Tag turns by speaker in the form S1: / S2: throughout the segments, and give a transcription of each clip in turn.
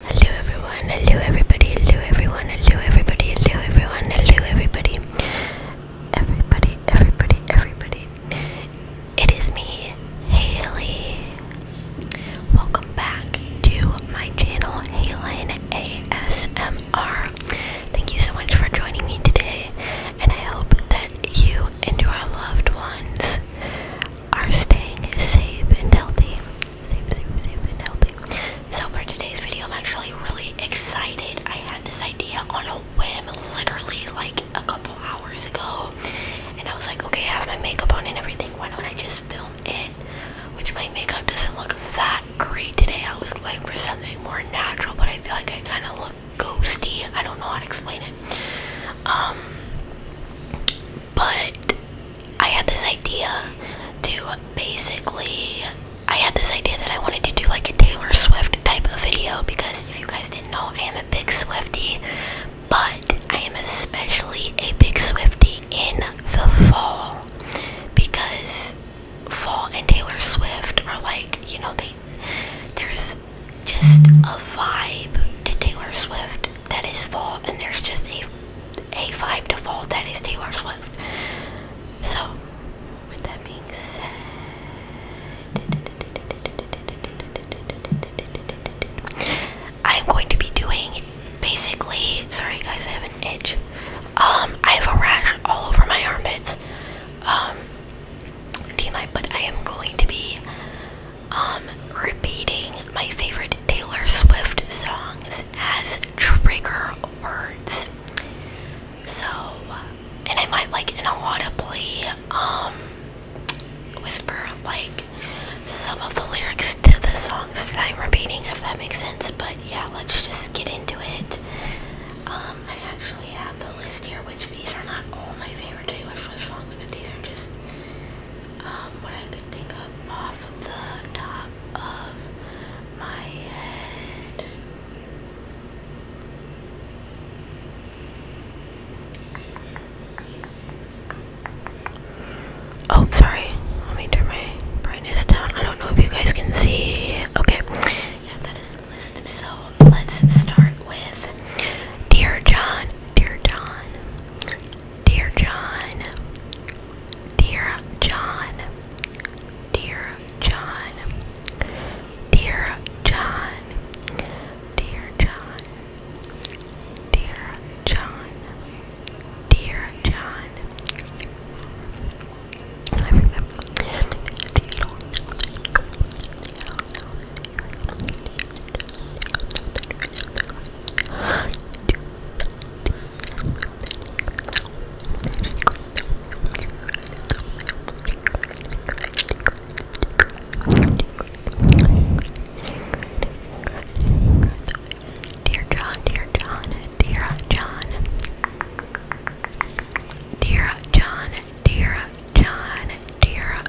S1: Hello everyone, hello everybody, hello everyone, hello everybody, hello everyone, hello everybody, everybody, everybody, everybody. It is me, Haley. Welcome back to my channel, Haley ASMR. Thank you so much for joining me today, and I hope that you and your loved ones are staying safe and healthy so for today's video, I'm actually really excited. I had this idea on a whim, literally like a couple hours ago, and I was like, okay, I have my makeup on and everything. Why don't I just film it? Which my makeup doesn't look that great today. I was going for something more natural, but I feel like I kind of look ghosty. I don't know how to explain it. Um, but I had this idea to basically, I had this idea that I wanted to do like a Taylor Swift type of video because if you guys didn't know, I am a big Swifty, but I am especially a big Swifty in the fall because fall and Taylor Swift are like, you know, they there's just a vibe to Taylor Swift that is fall and there's just a a5 default, that is Taylor Swift. So, with that being said, I'm going to be doing basically. Sorry, guys, I have an itch. Um, I have a rash all over my armpits. Um, but I am going to be um, repeating my favorite Taylor Swift songs as trigger words. So, and I might like inaudibly um, whisper like some of the lyrics to the songs that I'm repeating, if that makes sense. But yeah, let's just get into it. Um, I actually have the list here, which these are not all my favorite Taylor Swift songs, but these are just um, what I could think of off Oh, sorry. Let me turn my brightness down. I don't know if you guys can see. Okay. Yeah, that is the list. So let's start with Dear John. Dear John, Dear John, Dear John, Dear John, Dear John, Dear John, Dear John, Dear John. Dear John, dear John, dear John, dear John, dear John, dear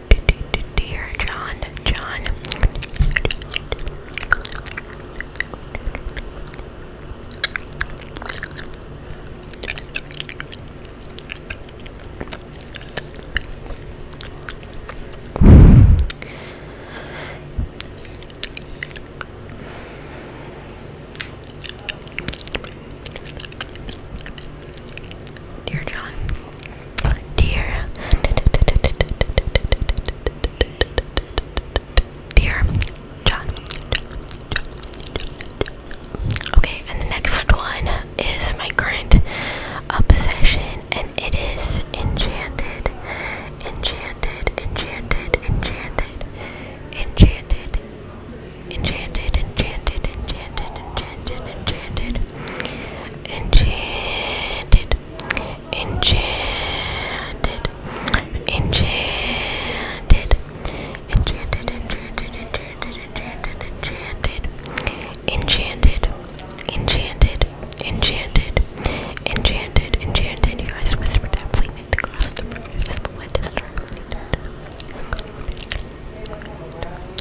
S1: dear John, John. Dear John. Dear. Dear John. Okay, and the next one is my current obsession, and it is Enchanted. Enchanted, Enchanted, Enchanted, Enchanted, Enchanted, enchanted, enchanted, enchanted, enchanted, enchanted, enchanted, enchanted, enchanted, enchanted, enchanted, enchanted, enchanted, enchanted, enchanted, enchanted, enchanted, enchanted. You guys whisper that flaming across the room. Your silhouette is darkly. Enchanted, enchanted,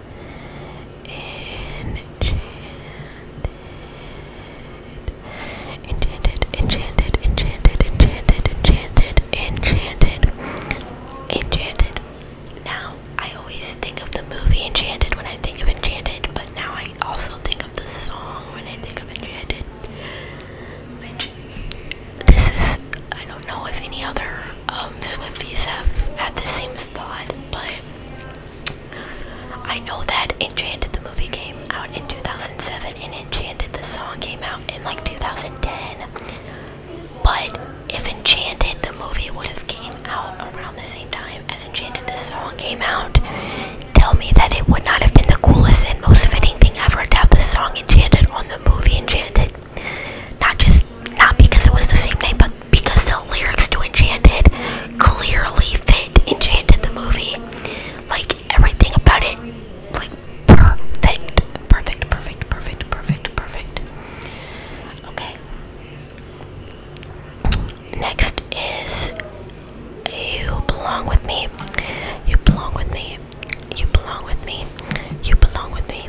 S1: Enchanted, enchanted, enchanted, enchanted, enchanted, enchanted, enchanted. Now, I always think of the movie Enchanted when I think of Enchanted, but now I also think of the song when I think of Enchanted. Which, this is, I don't know if any other um, Swifties have had the same thought but I know that Enchanted the movie came out in 2007 and Enchanted the song came out in like 2010. But if Enchanted the movie would have came out around the same time as Enchanted the song came out, tell me that it would not have been the coolest and most fitting thing ever to have the song Enchanted on the movie Enchanted. Not just not because it was the same name, but because the lyrics to Enchanted clearly fit Enchanted the movie. Like everything about it, like perfect, perfect, perfect, perfect, perfect, perfect. Okay. Next is You Belong With Me. You belong with me. You belong with me. You belong with me.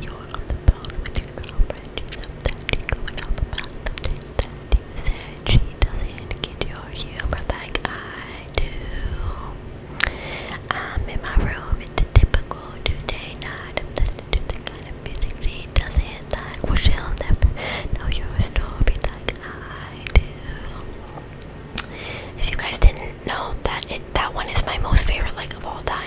S1: You're on the phone with your girlfriend. She's upset. You're going off about that you said. She doesn't get your humor like I do. I'm in my room. It's a typical Tuesday night. I'm listening to the kind of music she doesn't like. Well, she'll never know your story like I do. If you guys didn't know that it that one is my most favorite like of all time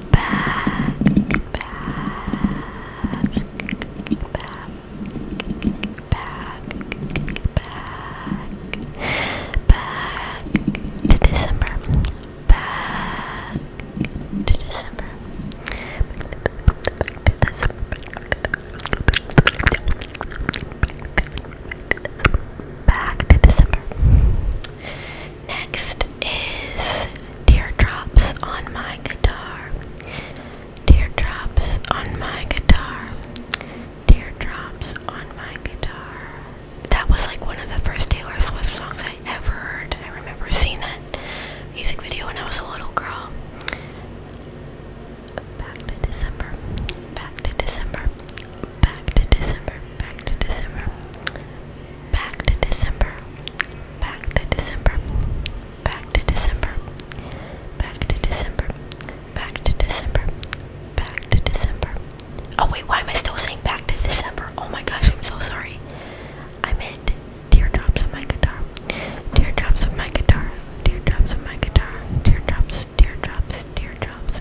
S1: back, back, back. Back, back, back Back to December. Back to December. Back to December. Next is Teardrops on My Guitar. Teardrops on My Guitar. Teardrops on My Guitar. That was like one of the first Taylor Swift songs I ever heard. I remember seeing that music video when I was a little girl. Back to December. Back to December. Back to December. Back to December. Back to December. Back to December. Back to December. Back to December. Back to December. Back to December. Oh wait, why am I still saying back to December? Oh my gosh, I'm so sorry. I meant teardrops on my guitar. Teardrops on my guitar. Teardrops on my guitar. Teardrops, teardrops, teardrops.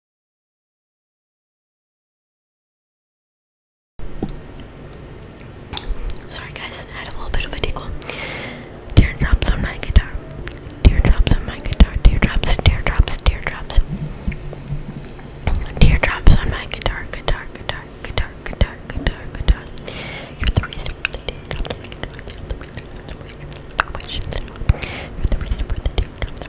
S1: Sorry guys, I had a little bit of a tickle. Teardrops on my guitar. Teardrops on my guitar. Teardrops, teardrops, teardrops. Teardrops on my guitar, guitar, guitar, guitar, guitar, guitar, guitar. You're the reason for the teardrops on my guitar. You're the reason for the teardrops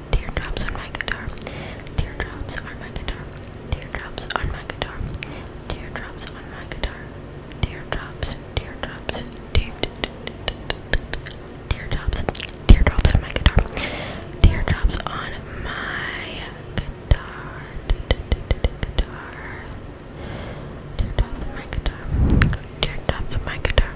S1: Teardrops on my guitar. Teardrops on my guitar. Teardrops on my guitar. Teardrops on my guitar. Teardrops. Teardrops. Teardrops. Teardrops on my guitar. Teardrops on my guitar. Guitar. Teardrops on my guitar. Teardrops on my guitar.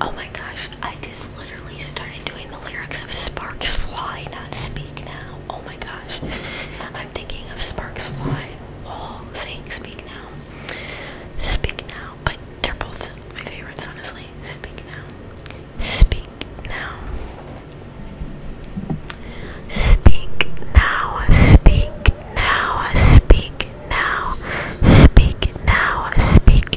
S1: Oh my gosh, I just literally started doing the lyrics of Sparks Fly, not Speak Now. Oh my gosh. I'm thinking of Sparks Fly while saying Speak Now. Speak Now. But they're both my favorites, honestly. Speak Now. Speak Now. Speak Now. Speak Now. Speak Now. Speak Now. Speak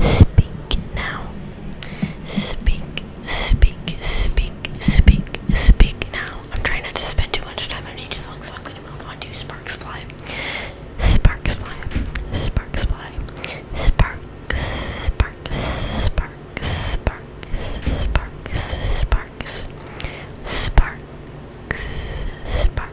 S1: speak now. Speak, speak, speak, speak, speak now. I'm trying not to spend too much time on each song, so I'm gonna move on to Sparks Fly. Sparks Fly, Sparks Fly, Sparks, Sparks, Sparks, Sparks, Sparks, Sparks, Sparks, Sparks, Sparks.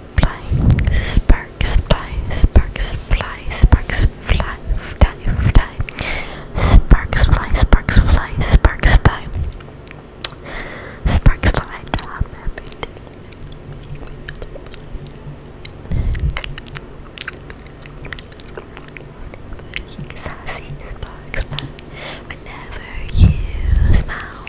S1: fly, sparks fly, sparks fly, sparks fly, fly, fly, sparks fly, sparks fly, sparks fly, sparks fly, drop everything. I see sparks fly whenever you smile.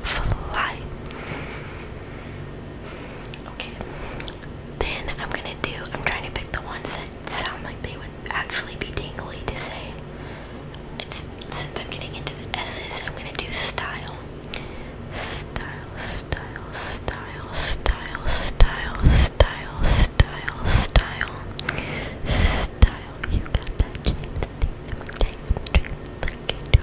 S1: fly. Okay. Then I'm gonna do, I'm trying to pick the ones that sound like they would actually be tingly to say. It's, since I'm getting into the S's, I'm gonna do style. Style, style, style, style, style, style, style, style. Style, you got that, James. Take, take, take, look into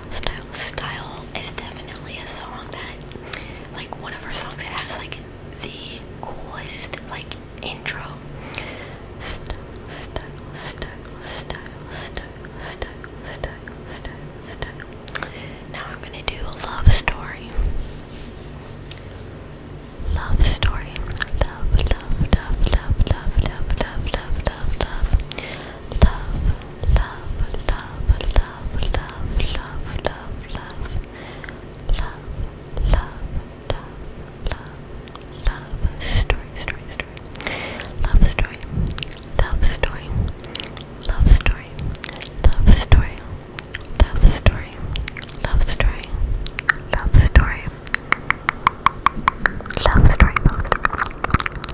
S1: Style, style is definitely a song that, like, one of her songs that has like the coolest like intro. Style, style, style, style, style, style, style, style, style. Now I'm gonna do a love story. Love story. Love, love, love, love, love, love, love, love, love, love love, love, love, love, love, love, love, love. Love, love, love, love, love Love story, story, story, love story, love story, love story, love story, love story, love story, love story, love story, love story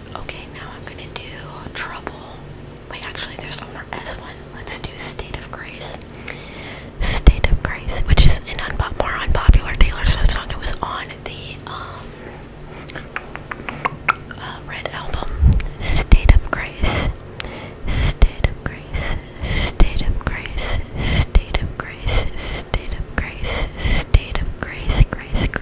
S1: Okay, now I'm gonna do trouble. Wait, actually, there's one more S one. Let's do state of grace. State of grace, which is an unpo more unpopular Taylor Swift song. It was on the um uh, red album. State of grace. State of grace. State of grace. State of grace. State of grace. State of grace. Grace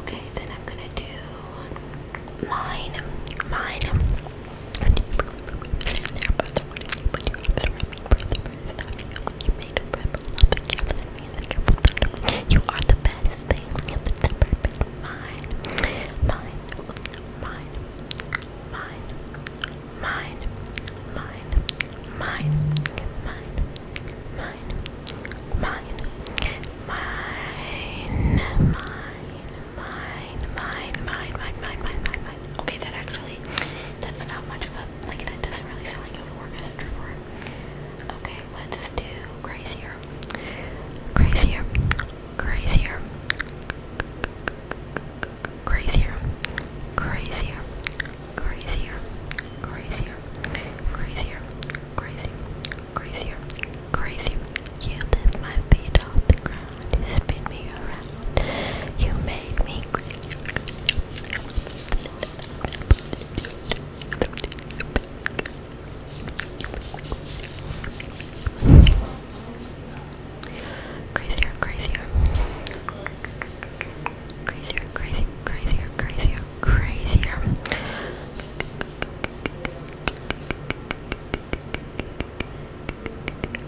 S1: Okay, then I'm gonna do mine. Mine. You are the best Mine. Mine. Mine. Mine. Mine. Mine. Mine. Mine. Mine. Mine. Mine. Mine, mine, mine, mine, mine, mine, mine, mine, mine, mine. Okay, that actually, that's not much of a, like, that doesn't really sound like it would work as a trigger word. Okay, let's do crazier, crazier, crazier, crazier, crazier, crazier, crazier, crazier, crazier, crazier, crazier. yeah, lift my feet off the ground, spin me around, you make me crazy. Crazier, crazier, crazier, crazier, crazier, crazier, crazier.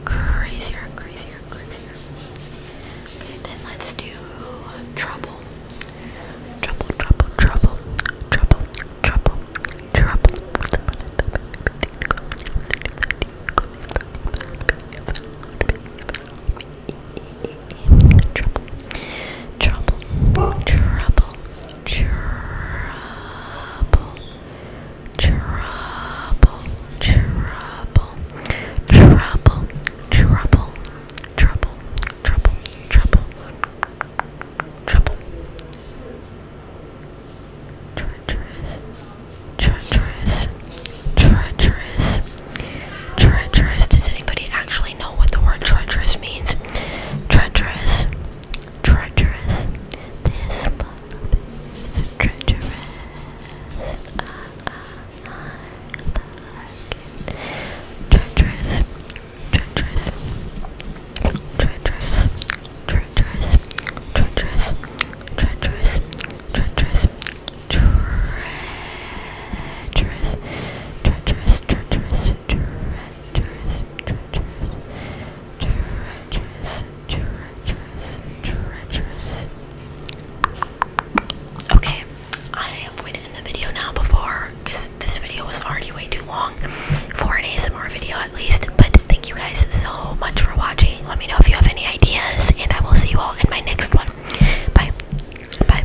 S1: Crazier, crazier, crazier. Okay, then let's do trouble. Trouble, trouble, trouble, trouble, trouble, trouble. Trouble, trouble, trouble trouble, trouble, trouble, trouble, trouble, trouble, trouble, trouble, trouble, treacherous, treacherous, treacherous, treacherous. Does anybody actually know what the word treacherous means? Treacherous treacherous. This love is treacherous. treacherous, treacherous, treacherous, treacherous, treacherous, treacherous, treacherous, treacherous, treacherous, treacherous. Okay, I am going to end the video now before, because this video was already way too long for an ASMR video at least. But thank you guys so much for watching. Let me know if you have any ideas, and I will see you all in my next one. Bye. Bye.